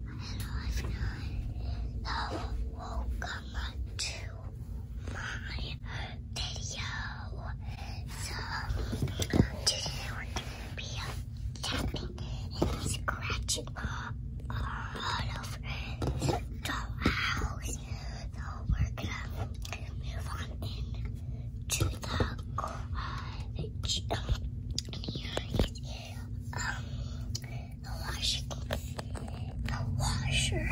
And I've not welcome to my video. So today we're gonna be tapping and scratching all, all over the dollhouse. So we're gonna move on in to the garage the washer, the washer.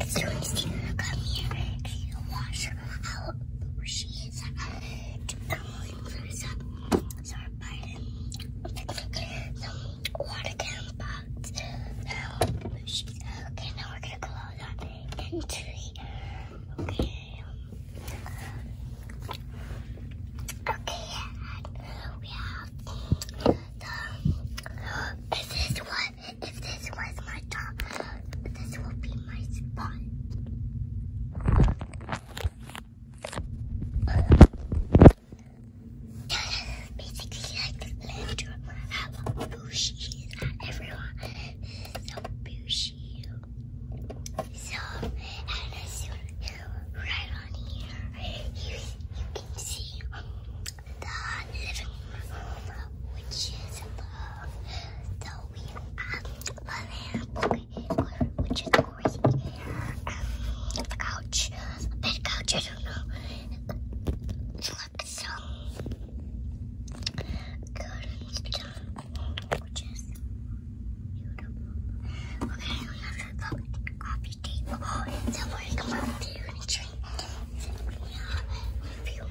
It's Christina, come here. The washer. How she is. I'm going for some sorry, Biden. Some water can box. okay, now we're gonna close on entry. Okay. Okay, we have if this was, my top, this will be my spot. basically like the lantern, how bushy everyone so bushy. So, and as soon right on here, you, you can see the living room, which is above. So we have which is crazy. Um, the couch, a bed couch, I don't know. Look, some curtains, which is Beautiful. Okay, we have the coffee table. So we're going to drink if you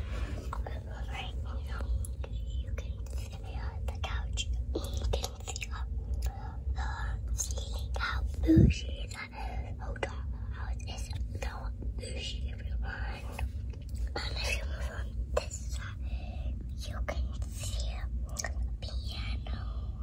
right you can see the couch. You can see the ceiling, how bushy the hotel house is. So bushy, everyone. And if you move on this side, you can see a piano.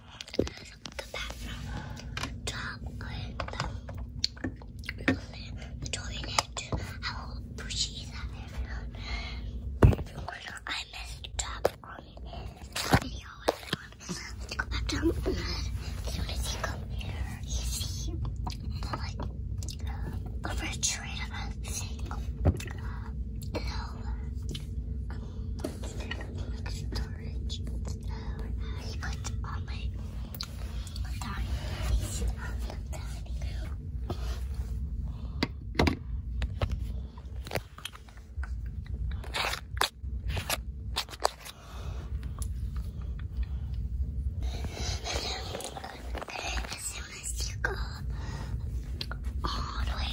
the bathroom, top and the, the toilet. I will appreciate that everyone. I messed up on this video. Go back down. This one is hiccup. You see, like a refrigerator thing. No. Um, it's bulk storage. I put all my documentation on the dining as soon as you go all the way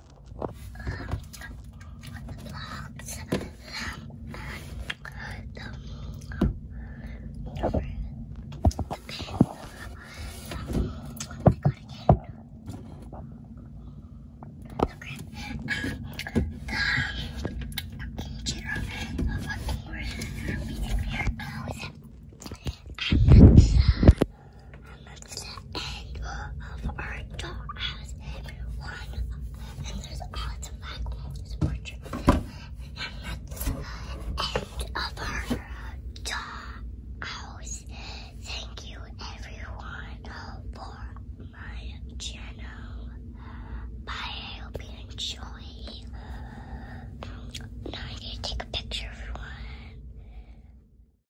vlogs and the, the pen. Um, what is it called again? Okay. Um, the kitchen of a more meeting here close. I'm not sure. And that's the end of our dollhouse, everyone. And there's lots of black walls portrait. And that's the end of our dollhouse. Thank you, everyone, for my channel. Bye. I hope you enjoy. Now I need to take a picture, everyone.